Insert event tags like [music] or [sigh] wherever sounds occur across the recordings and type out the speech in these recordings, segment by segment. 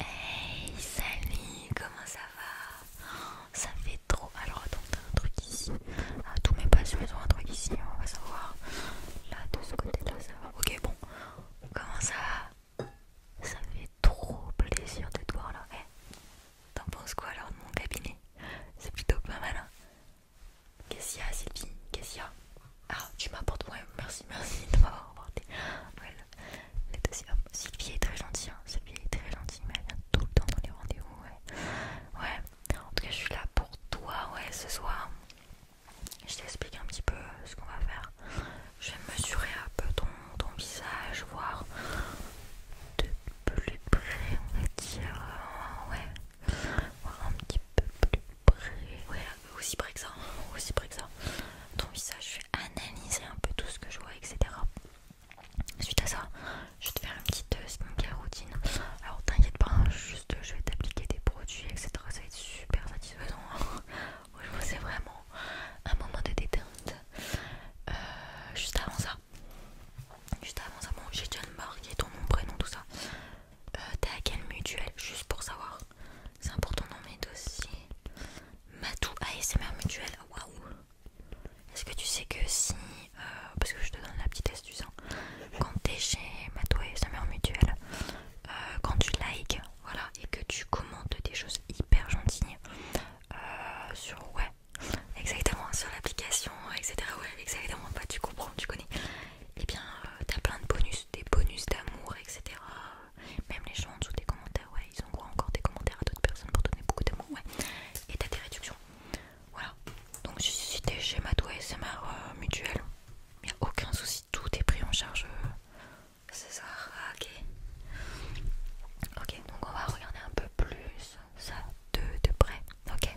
Hey, salut, comment ça va Ça fait trop. Alors, attends, t'as un truc ici. Ah, tous mes patients, ils ont un truc ici, on va savoir. Là, de ce côté-là, ça va. Ok, bon. Comment ça va Ça fait trop plaisir de te voir là. Eh, t'en penses quoi alors de mon cabinet C'est plutôt pas mal, hein Qu'est-ce qu'il y a, Sylvie Qu'est-ce qu'il y a Ah, tu m'apportes. moi merci, merci de m'avoir apporté. Sylvie est très gentille, hein. est très mais elle vient tout le temps dans les rendez-vous, ouais. en tout cas, je suis là pour toi, ouais, ce soir. Je t'explique un petit peu euh, ce qu'on va faire. Je vais mesurer un peu ton, visage, voir de plus près, on va dire, euh, un petit peu plus près, ouais, aussi près que ça, hein. aussi près que ça. Ton visage, analyser un peu tout ce que je vois, etc. Suite à ça, je vais te faire une petite euh, skincare routine. Alors t'inquiète pas, hein, juste je vais t'appliquer des produits, etc. Ça va être super satisfaisant. vous' hein. [laughs] c'est vraiment un moment de détente. Euh, juste avant ça, juste avant ça, bon, j'ai déjà marqué ton nom, prénom, tout ça. Euh, t'es à quelle mutuelle Juste pour savoir. C'est important dans mes dossiers. Matou ASMR mutuel. Waouh! Est-ce que tu sais que si. Euh, parce que je te donne la petite astuce. Hein, quand t'es chez Matou ASMR mutuel, euh, quand tu likes, voilà, et que tu commentes des choses hyper gentilles euh, sur. Ouais, exactement, sur l'application, etc. Ouais, exactement, bah, tu comprends, tu connais. Et eh bien, t'as plein de bonus, des bonus d'amour, etc. Même les gens en dessous des commentaires, ouais, ils ont encore des commentaires à d'autres personnes pour donner beaucoup d'amour, ouais. Et t'as des réductions. Voilà. Donc si t'es chez Mato SMR euh, Mutuelle, aucun souci, tout est pris en charge. Euh, c'est ça, ah, ok. Ok, donc on va regarder un peu plus ça de, près, ok.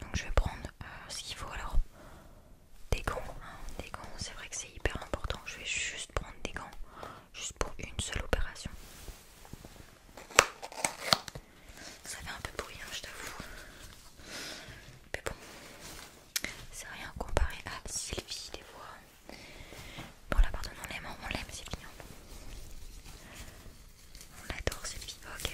Donc je vais prendre euh, ce qu'il faut alors. Des gants, hein. des gants, c'est vrai que c'est hyper important. Je vais juste juste prendre des gants, juste pour une seule opération. Ça fait un peu bruit hein, je t'avoue. Mais bon, c'est rien comparé à Sylvie, des fois. Bon, là, pardon, on l'aime, on l'aime, Sylvie. Hein. On l'adore, Sylvie. Ok.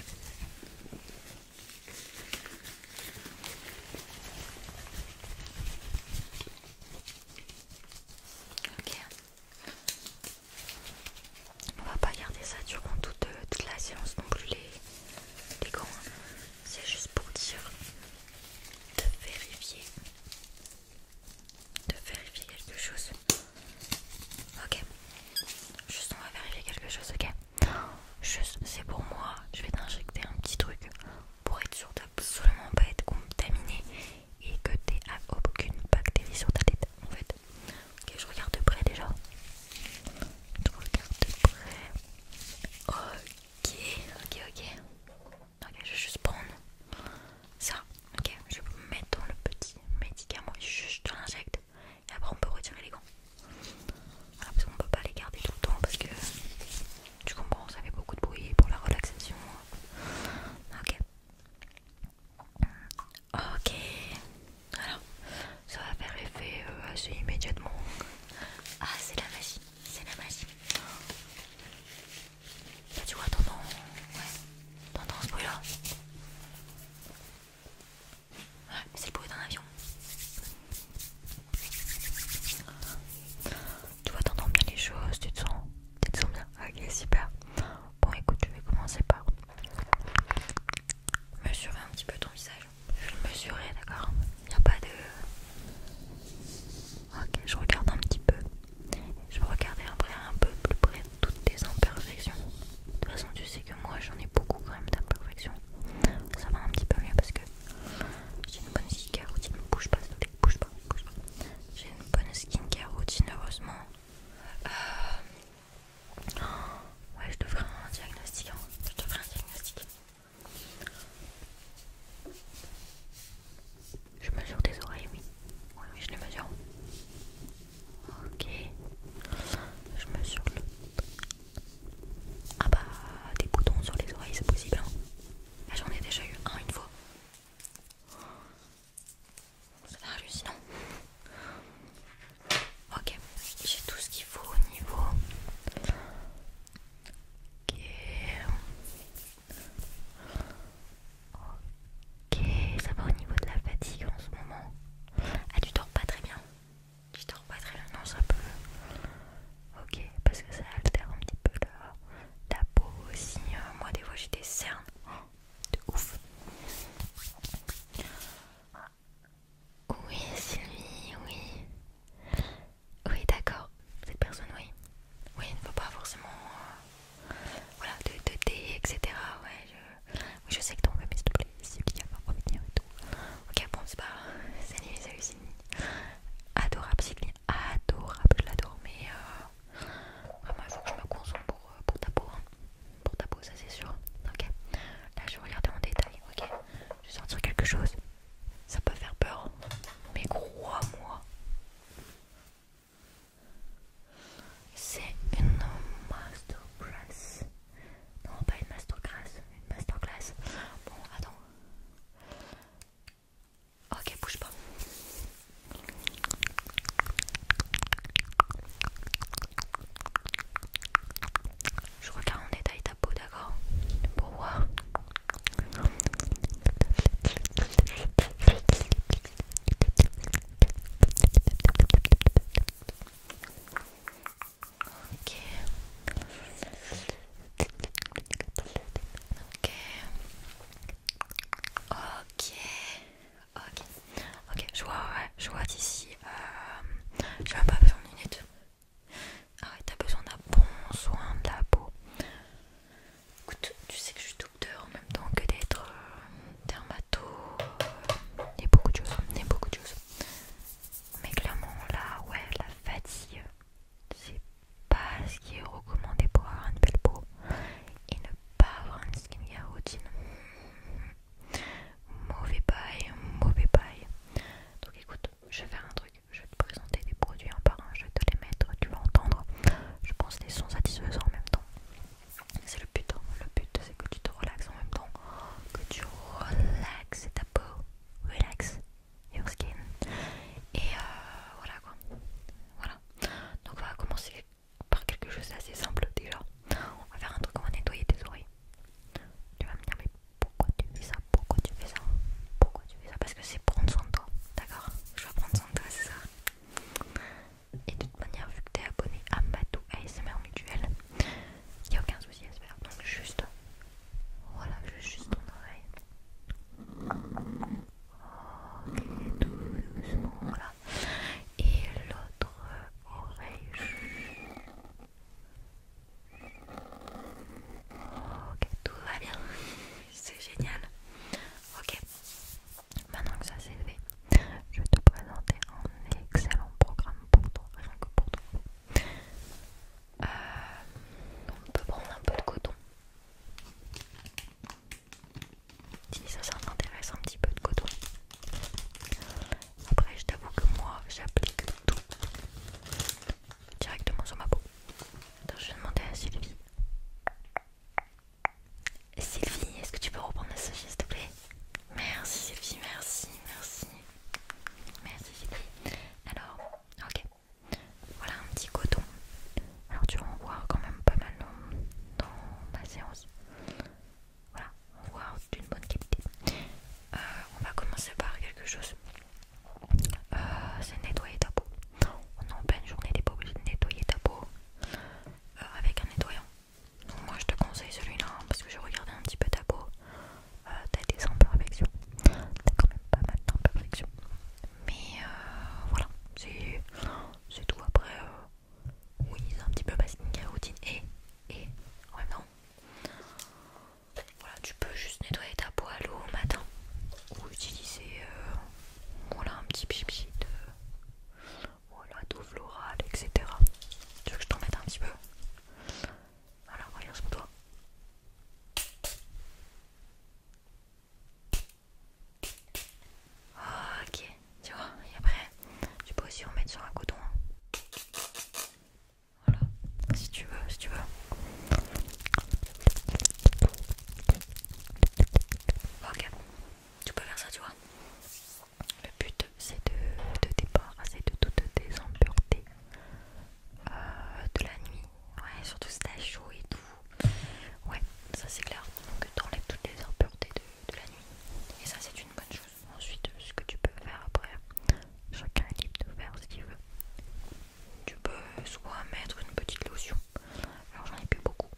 On va pas garder ça durant euh, toute, la séance non plus les, les gants. Hein. C'est juste pour dire de vérifier. De vérifier quelque chose. Ok. Juste on va vérifier quelque chose, ok Juste c'est pour moi. Je vais t'injecter un petit truc pour être sûr d'absolument pas être contaminé et que tu t'aies aucune bactérie sur ta tête en fait. Ok, je regarde de près déjà. Je regarde de près. Ok, ok, ok. Ok, je vais juste prendre ça. Ok, je vais mettre dans le petit médicament. juste dans l'injecte et après on peut retirer les gants. parce qu'on peut pas les garder tout le temps parce que tu comprends, ça fait beaucoup de bruit pour la relaxation. Ok. Ok. Alors, ça va faire l'effet euh, assez immédiatement. Ah, c'est la magie, c'est la magie. tu vois, t'entends, ouais, t'entends ce bruit-là. c'est le bruit d'un avion. Tu vois, t'entends bien les choses, tu te sens, tu te sens bien. Ok, super. Bon, écoute, je vais commencer par mesurer un petit peu ton visage. Je vais le mesurer, d'accord Il n'y a pas de. Ok, je regarde un petit peu. Je vais regarder après un peu plus près toutes tes imperfections. De toute façon, tu sais que moi j'en ai beaucoup quand même d'imperfections. Ça va un petit peu mieux parce que j'ai une bonne skincare routine, bouge pas, s'il te plaît, bouge pas, bouge pas. J'ai une bonne skincare routine, heureusement. Euh... ouais, je devrais un diagnostic, hein. je devrais un diagnostic. Je mesure tes oreilles, oui. Oui, oui, je les mesure. Ok. Je mesure le... Ah bah, des boutons sur les oreilles, c'est possible. Hein ah, j'en ai déjà eu un une fois. C'est hallucinant. Ok, j'ai tout ce qu'il faut au niveau. Ok. Ok, ça va au niveau de la fatigue en ce moment. Ah, tu dors pas très bien. Tu dors pas très bien, non, ça peut. Ok, parce que ça altère un petit peu la, peau aussi. Hein. moi, des fois, j'ai des cernes. Oh, de ouf. Oui, Sylvie, oui. Oui, d'accord. Cette personne, oui. Oui, il ne faut pas forcément. Euh, voilà, de, de thé, etc. Ouais, je, je sais que t'en veux, mais s'il te plaît, Sylvie, il va revenir et tout. Ok, bon, c'est pas. Salut, salut, Sylvie adorable Cycline, adorable, je l'adore, mais euh, vraiment il faut que je me consomme euh, pour, ta peau, hein. pour ta peau ça c'est sûr, ok Là je vais regarder en détail, ok Je vais sortir quelque chose, ça peut faire peur, hein. mais crois-moi c'est une masterclass. Non, pas une masterclass, une masterclass. Bon, attends. Ok, bouge pas. Je regarde en détail ta peau, d'accord Pour voir. Ok. Ok. Ok. Ok. je vois, ouais, je vois d'ici. Euh, vais pas besoin de minute. Ah t'as besoin d'un bon soin de la peau. Écoute, tu sais que je suis docteur en même temps que d'être thermato euh, euh, beaucoup de choses. Et beaucoup de choses. Mais clairement, là, ouais, la fatigue c'est pas ce qui est recommandé pour avoir une belle peau et ne pas avoir une skincare routine. [laughs] Mauvais paille, mauvais paille Donc écoute, je vais faire un truc, je vais te présenter des produits en par un, je vais te les mettre, tu vas entendre. Je pense les sons satisfaisants en même temps. C'est le but, hein. le but c'est que tu te relaxes en même temps, que tu relaxes ta peau, relaxe your skin. Et euh, voilà quoi. Voilà. Donc on va commencer par quelque chose d'assez simple déjà. On va faire un truc, on va nettoyer tes oreilles. Tu vas me dire mais pourquoi tu fais ça Pourquoi tu fais ça Pourquoi tu fais ça Parce que c'est prendre soin de toi. D'accord Je vais prendre soin de toi, c'est ça. Et de toute manière, vu que t'es abonné à Matou ASMR Mutuel, il n'y a aucun souci à faire. Donc juste voilà, je juste ton oreille. Ok, doucement, voilà. Et l'autre oreille. Ok, tout va bien. C'est génial. Ok, maintenant que ça s'est fait, je vais te présenter un excellent programme pour toi, rien que pour toi. Euh, on peut prendre un peu de coton. Si ça, ça un petit peu de coton. Après, je t'avoue que moi, j'applique tout directement sur ma peau. Attends, je vais demander à Sylvie. Sylvie, est-ce que tu peux reprendre la s'il te plaît Merci Sylvie, merci, merci. Merci Sylvie. Alors, ok. Voilà un petit coton. Alors tu vas en voir quand même pas mal dans, ma séance. Voilà, on voit d'une bonne qualité. Euh, on va commencer par quelque chose. Euh, c'est nettoyer ta peau. On en pleine journée, t'es pas nettoyer ta peau euh, avec un nettoyant. Donc moi je te conseille celui-là hein, parce que je regardais un petit peu ta peau. Euh, t'as des imperfections, t'as quand même pas mal perfection mais euh, voilà, c'est tout. Après, euh, oui, c'est un petit peu basting et routine et, et ouais voilà, tu peux juste nettoyer ta peau à l'eau au matin ou utiliser voilà, un petit pipi de voilà, d'eau florale, etc. Tu veux que je t'en mette un petit peu voilà, regarde sur toi. Ok, tu vois, et après, tu peux aussi remettre sur un coton. Hein. Voilà, si tu veux, si tu veux. Ok, tu peux faire ça, tu vois. Le but, c'est de, de débarrasser c'est de te désemporter de la nuit, ouais, surtout si t'as chaud et tout. Ouais, ça c'est clair. Donc t'enlèves toutes les impuretés de, de la nuit. Et ça c'est une bonne chose. Ensuite, ce que tu peux faire après, chacun est libre de faire ce qu'il veut. Tu peux soit mettre une petite lotion. Alors j'en ai plus beaucoup.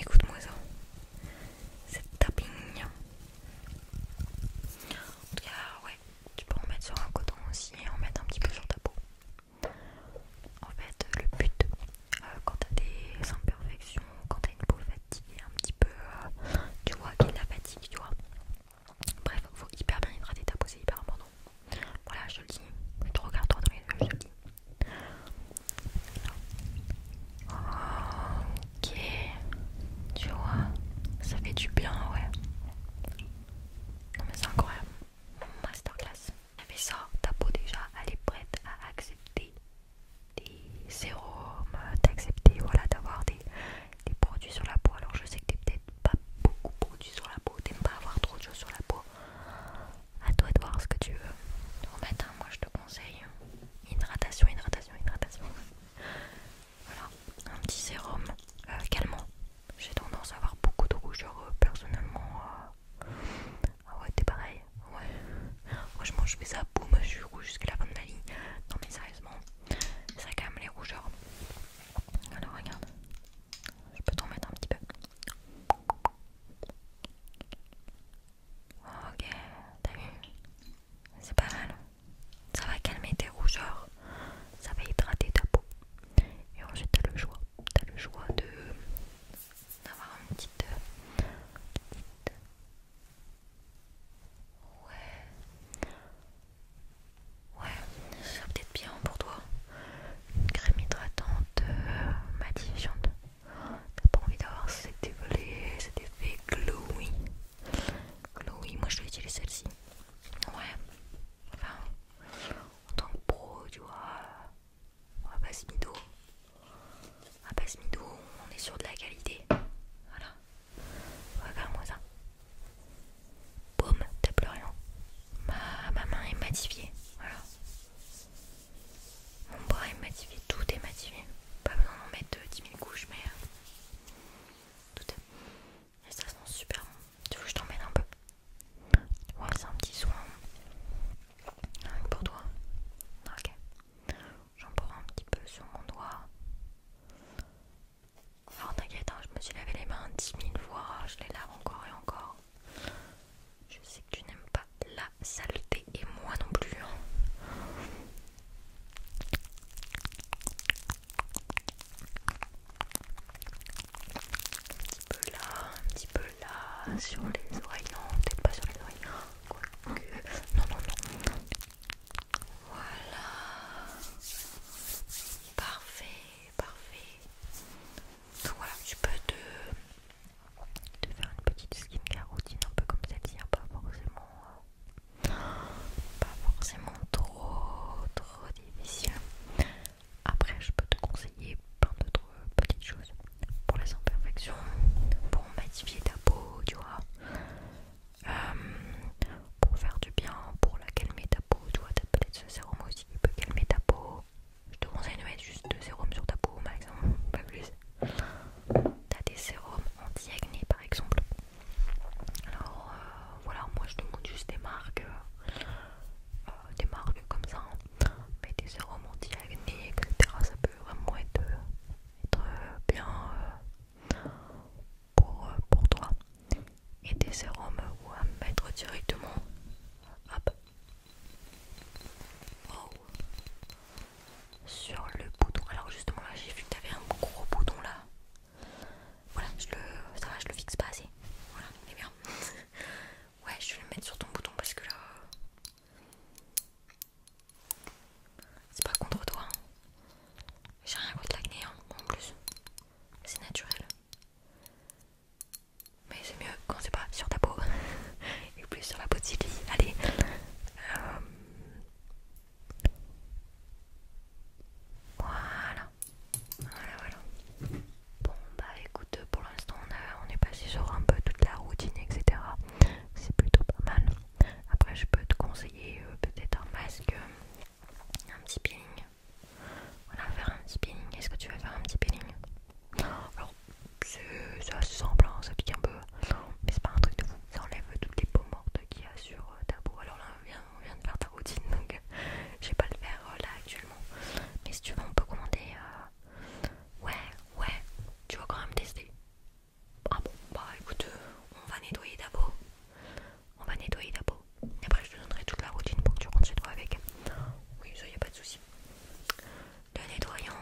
Écoute-moi ça cette tapping. En tout cas, ouais, tu peux en mettre sur un coton aussi et en mettre un petit peu sur ta peau. En fait, euh, le but, euh, quand t'as des imperfections, quand t'as une peau fatiguée, un petit peu, euh, tu vois, qui la fatigue, tu vois. Bref, il faut hyper bien hydrater ta peau, c'est hyper important. Voilà, je te le dis. regarde toi dans les yeux, je Ok, tu vois, ça fait du bien, ouais. Non mais c'est incroyable. Masterclass. Mais ça, ta peau déjà, elle est prête à accepter des sérums, d'accepter voilà, d'avoir des, produits sur la peau. Alors je sais que t'es peut-être pas beaucoup produit sur la peau, t'aimes pas avoir trop de choses sur la peau. À toi de voir ce que tu veux. Au matin, moi je te conseille hydratation, hydratation, hydratation voilà, un petit sérum euh, calmant. J'ai tendance à avoir beaucoup de rougeurs euh, personnellement. Euh. Ah ouais, t'es pareil. Ouais. Franchement, je fais ça, boum, je suis rouge jusqu'à la fin de ma vie. Non mais sérieusement, ça calme les rougeurs. Alors regarde, je peux t'en mettre un petit peu. Ok, t'as vu C'est pas mal. Ça va calmer tes rougeurs, ça va hydrater ta peau. Et ensuite t'as le choix. T'as le choix de d'avoir une petite, euh, Ouais. Ouais, ça peut-être bien pour toi. Une crème hydratante euh, matifiante. T'as pas envie d'avoir cet effet, c'est effet glowy. Chloé, moi je vais utiliser celle-ci. Ouais. Enfin, en tant que pro, tu vois, à base mido. À base mido, on est sur de la qualité. Voilà. Regarde-moi ça. Boum, t'as plus ma main est matifiée. Voilà. Mon bras est matifié, tout est matifié. Pas besoin d'en mettre 10 euh, 000 couches, mais euh, tout est. Et ça sent super bon. Tu veux que je t'emmène un peu Ouais, c'est un petit soin. pour toi. Ok. J'en prends un petit peu sur mon doigt. Alors t'inquiète, hein, je me suis lavé les mains 10 000 fois, je les lave encore et encore. Je sais que tu n'aimes pas la saleté et moi non plus. Hein un petit peu là, un petit peu là, sur les oreilles, non, peut-être pas sur les oreilles, quoique, non, non, non, voilà, parfait, parfait, donc voilà, tu peux te, faire une petite skin routine un peu comme celle-ci, a hein, pas forcément euh, pas forcément trop trop difficile. Après je peux te conseiller plein d'autres petites choses. Pour les imperfections, pour matifier ta peau, tu vois. Euh, pour faire du bien, pour la calmer ta peau, tu vois, t'as peut-être ce sérum aussi qui peut calmer ta peau. Je te conseille de mettre juste deux sérums sur ta peau maximum, pas plus t'as des sérums anti-acné par exemple. Alors euh, voilà, moi je te demande juste des marques, euh, euh, des marques comme ça, hein. mais des sérums anti-acné, etc. Ça peut vraiment être, bien pour, toi. Et des sérums Où à mettre directement. Hop. Wow sur le bouton. Alors justement là j'ai vu que t'avais un gros bouton là. Voilà, je le, le fixe pas assez. Voilà, mais bien. [laughs] ouais, je vais le mettre sur ton bouton parce que là, c'est pas contre toi. Hein. J'ai rien contre l'acné hein, en plus. C'est naturel. Mais c'est mieux quand c'est pas sur ta peau. [laughs] Et plus sur la peau de Sylvie. Allez. Euh, voilà. Voilà, voilà. Bon, bah écoute, pour l'instant, on, est passé sur un peu toute la routine, etc. C'est plutôt pas mal. Après, je peux te conseiller euh, peut-être un masque, euh, un petit peeling. Voilà, faire un petit peeling. Est-ce que tu veux faire un petit peeling Alors, c'est assez simple, hein, ça pique un peu mais c'est pas un truc de fou. Ça enlève toutes les peaux mortes qu'il y a sur euh, ta peau. Alors là, on vient, de faire ta routine donc euh, je vais pas le faire euh, là actuellement. Mais si tu veux, on peut commander. Ouais, ouais, tu vas quand même tester. Ah bon, bah écoute, on va nettoyer ta peau. On va nettoyer ta peau. Et après, je te donnerai toute la routine pour que tu rentres chez toi avec. Oui, ça y pas de souci. Le nettoyant,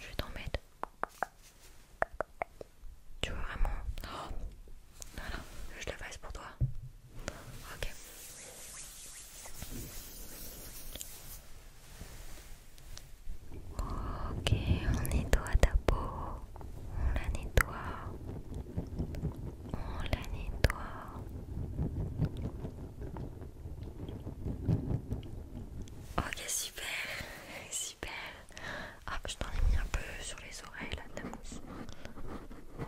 je vais t'en mettre tu vois vraiment non oh, non, je le fasse pour toi. Ok. Ok, on nettoie ta peau. On la nettoie. On la nettoie. Ok super, [laughs] super. Ah je t'en ai mis un peu sur les oreilles là ta oh,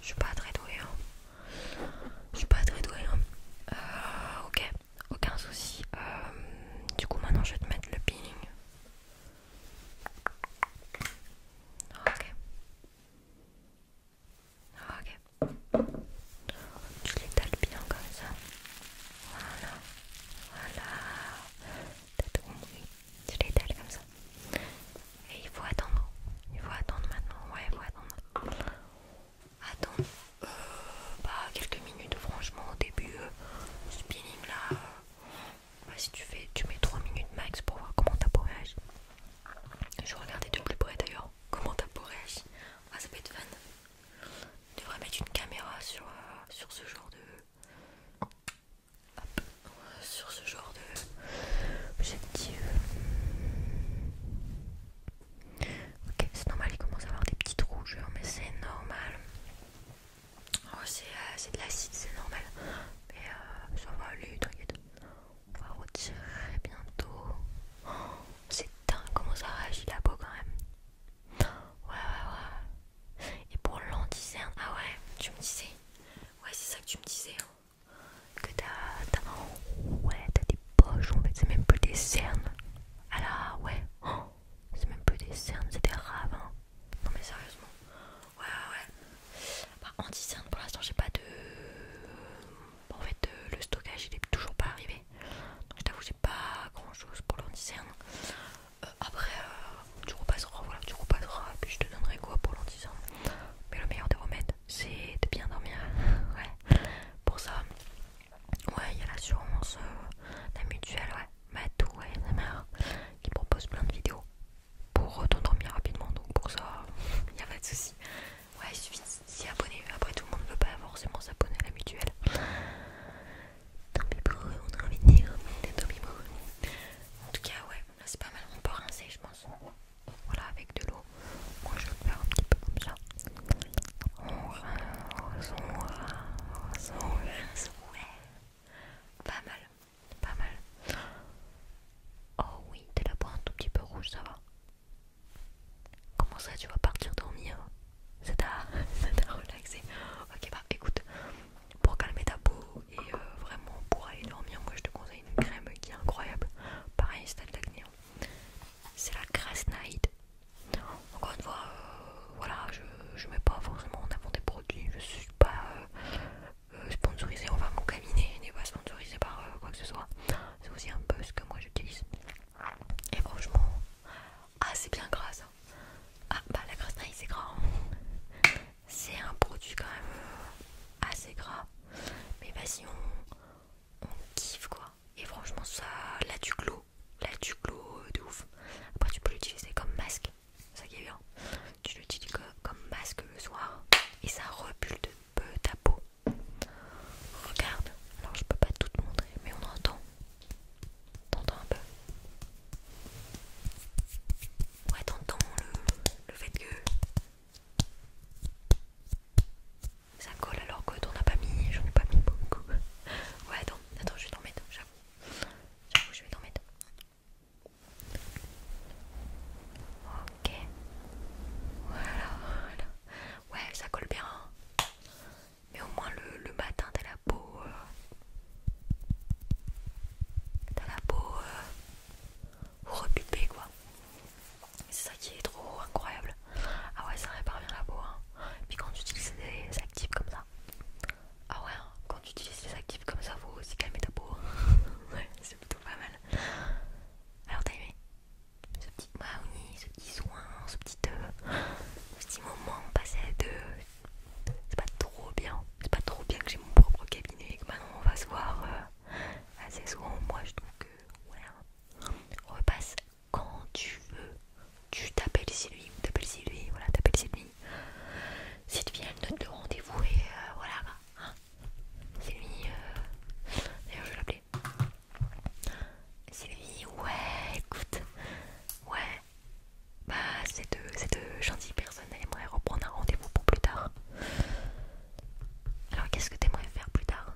Je suis pas très douée. Hein. Je suis pas très douée. Hein. Euh, ok, aucun souci. Euh, du coup maintenant je vais te mettre le ping Ok. Ok. Tu l'étales bien comme ça. Voilà, voilà. T'as tout compris. tu comme ça. Et il faut attendre. Il faut attendre maintenant. Ouais, il faut attendre. Attends. Euh, bah, quelques minutes, franchement, au début, euh, spinning là. Euh, bah, si tu fais, tu mets 3 minutes max pour voir comment ta peau réagit. Je regarder de plus près d'ailleurs comment ta peau réagit. Ah, ça va être fun. On devrait mettre une caméra euh, sur, ce genre de. Hop. Sur ce genre de. Objectif. Ok, c'est normal, il commence à avoir des petites rougeurs, mais c'est normal. Oh, euh, c'est de l'acide, c'est normal. Mais euh, ça va aller, On va retirer bientôt. Oh, c'est dingue comment ça réagit la peau quand même. Ouais, ouais, ouais. Et pour l'anticerne, ah ouais, tu me disais. Ouais, c'est ça que tu me disais. Hein. Que t'as. Ouais, t'as des poches en fait, c'est même plus des cernes. Ah ouais. Oh, c'est même plus des cernes, c'est des raves. Hein. Non, mais sérieusement. Ouais, ouais. Bah, anti-cerne, pour l'instant, j'ai pas de. En fait, euh, le stockage, il est toujours pas arrivé. Donc je t'avoue, j'ai pas grand chose pour l'an euh, Après, euh, tu repasseras, voilà, tu et puis je te donnerai quoi pour l'an Mais le meilleur des remèdes, c'est de bien dormir. [laughs] ouais, pour ça, ouais, il y a l'assurance, euh, la mutuelle, ouais, Matou, ouais, qui propose plein de vidéos pour t'endormir rapidement. Donc pour ça, il [laughs] n'y a pas de soucis. Ouais, il suffit si abonné, Après, tout le monde ne veut pas forcément s'abonner à la mutuelle. on a envie de dire. En tout cas, ouais, là c'est pas mal. On peut rincer, je pense. Voilà, avec de l'eau. Moi, je vais faire un petit peu comme ça. On rince, on Ouais, pas mal, pas mal. Oh oui, t'es la pour un tout petit peu rouge, ça va. Comment ça, tu vas partir dormir c'est tard, [laughs] relaxé Ok, bah écoute, pour calmer ta peau et euh, vraiment pour aller dormir, moi je te conseille une crème qui est incroyable. Pareil, c'est de l'acné. Hein. C'est la Grass Night. Encore une fois, euh, voilà, je ne mets pas forcément en avant des produits, je suis pas euh, sponsorisée, enfin mon cabinet n'est pas sponsorisé par quoi que ce soit. C'est aussi un peu ce que moi j'utilise. Et franchement, ah c'est bien gras ça. Ah bah la grasse naïve c'est gras. Hein. C'est un produit quand même assez gras. Mais vas-y on, kiffe quoi. Et franchement ça, là du clos, là du clos euh, de ouf. Après tu peux l'utiliser comme masque, ça qui est bien. Tu l'utilises comme masque le soir et ça repule de peu ta peau. Regarde, alors je peux pas tout te montrer, mais on entend. T'entends un peu Ouais, t'entends le, fait que ça colle alors que t'en as pas mis, j'en ai pas mis beaucoup. Ouais, attends, attends, je vais t'en mettre, j'avoue. J'avoue, je vais t'en mettre. Ok. voilà. Ouais, ça colle bien mais au moins le, matin t'as la peau euh, t'as la peau euh, quoi c'est ça qui est trop incroyable ah ouais ça répare bien la peau hein. puis quand tu utilises des actifs comme ça ah ouais hein, quand tu utilises des actifs comme ça faut aussi calmer ta peau [laughs] ouais c'est plutôt pas mal alors t'as aimé ce petit maouni, bah ce petit soin, ce petit, euh, moment passé de C'est pas trop bien. C'est pas trop bien que j'ai mon propre cabinet et que maintenant on va se voir euh, assez souvent. Moi je trouve que, On hein, repasse quand tu veux. Tu t'appelles Sylvie, lui, t'appelles Sylvie, lui, voilà, t'appelles Sylvie lui. S'il te note le rendez-vous et euh, voilà. Bah, hein. Sylvie, c'est lui. D'ailleurs, je vais l'appeler Sylvie, ouais, écoute, ouais, bah ces deux, gentilles personnes, reprendre un rendez-vous pour plus tard. Alors qu'est-ce que tu aimerais faire plus tard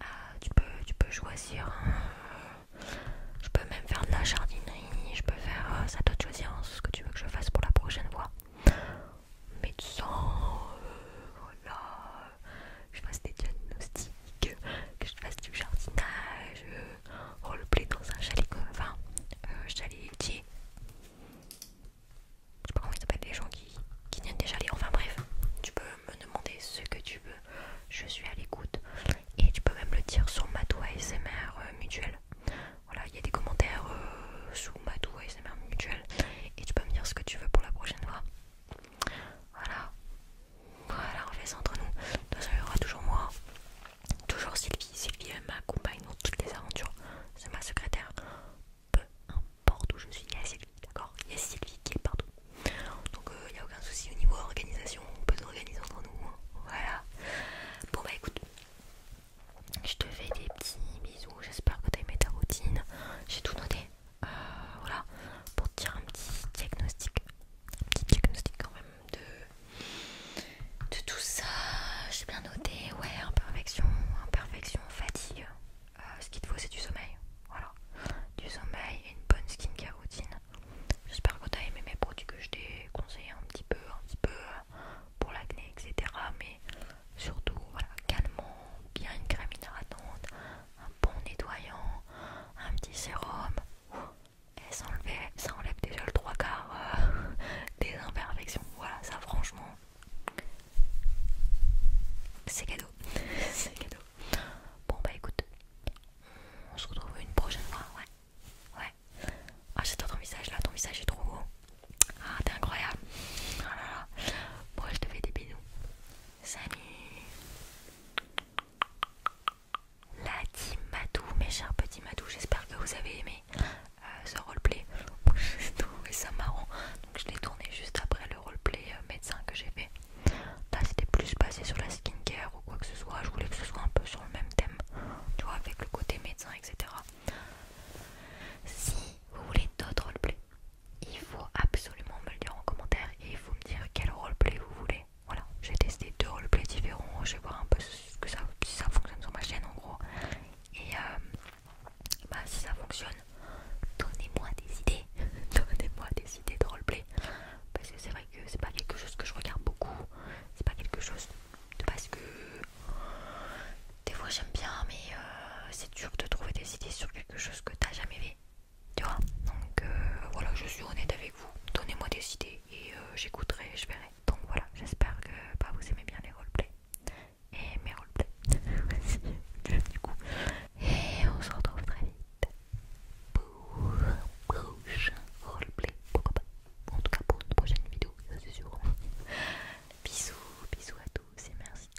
ah, tu peux, tu peux choisir, euh, je peux même faire de la jardinerie, je peux faire, euh, ça doit te choisir hein, ce que tu veux que je fasse pour la prochaine fois. Médecin, euh, voilà, euh, je fasse des diagnostics, que je fasse du jardinage, le euh, roleplay dans un chalet, comme, enfin, euh, chalet chaletier. Je sais pas comment ils s'appellent les gens qui, viennent déjà des Enfin bref, tu peux me demander ce que tu veux, je suis à l'écoute. Et tu peux même le dire sur Matou ASMR mutuel. Voilà, il y a des commentaires sous Matou ASMR mutuel. Et tu peux me dire ce que tu veux pour la prochaine fois. Voilà, voilà, on fait ça entre nous. De toute toujours moi, toujours Sylvie. Sylvie, m'accompagne dans toutes les aventures. C'est ma secrétaire. Peu importe où je suis, il y a Sylvie, d'accord Il y a Sylvie qui est partout. Donc, euh, il n'y a aucun souci au niveau organisation. On peut s'organiser entre nous. Hein. Voilà. Bon, bah écoute, je te fais des petits bisous. J'espère que tu aimé ta routine. J'ai tout noté. Euh, voilà, pour te dire un petit diagnostic, un petit diagnostic quand même de, de tout ça. J'ai bien noté, ouais, imperfection, imperfection, fatigue. Euh, ce qu'il te faut, c'est du sommeil, voilà, du sommeil et une bonne skincare routine. J'espère que as aimé mes produits que je t'ai conseillé un petit peu, un petit peu euh, pour l'acné, etc. Mais surtout, voilà, calmant, bien une crème hydratante un bon nettoyant, un petit sérum. Et ça enlève, ça enlève déjà le trois quarts euh, des imperfections. Voilà, ça franchement, c'est cadeau. [laughs] c'est Bon bah écoute, on se retrouve une prochaine fois. Ouais, ouais. Ah j'adore ton visage là, ton visage est trop beau. Ah t'es incroyable. Ah bon je te fais des bisous. Salut. La team Madou, mes chers petits Madou, j'espère que vous avez aimé euh, ce roleplay. [laughs] J'ai et ça marrant, donc je l'ai tourné juste après le roleplay euh, médecin que j'ai fait. Là, c'était plus basé sur la skincare ou quoi que ce soit. Je voulais que ce soit un peu sur le même thème, tu vois, avec le côté médecin, etc. Si vous voulez d'autres roleplays, il faut absolument me le dire en commentaire et il faut me dire quel roleplay vous voulez. Voilà, j'ai testé deux roleplays différents, je vais voir un peu ce que ça, si ça fonctionne sur ma chaîne en gros. Et euh, bah, si ça fonctionne, donnez-moi des idées, [laughs] donnez-moi des idées de roleplay. Parce que c'est vrai que c'est pas quelque chose que je regarde beaucoup, c'est pas quelque chose de parce que des fois j'aime bien, mais euh, c'est dur de trouver des idées sur quelque chose que t'as jamais vu tu vois donc euh, voilà je suis honnête avec vous donnez moi des idées et euh, j'écouterai je verrai donc voilà j'espère que bah, vous aimez bien les roleplays et mes roleplays [laughs] du coup et on se retrouve très vite pour un roleplay pourquoi pas en tout cas pour une prochaine vidéo ça c'est sûr bisous bisous à tous et merci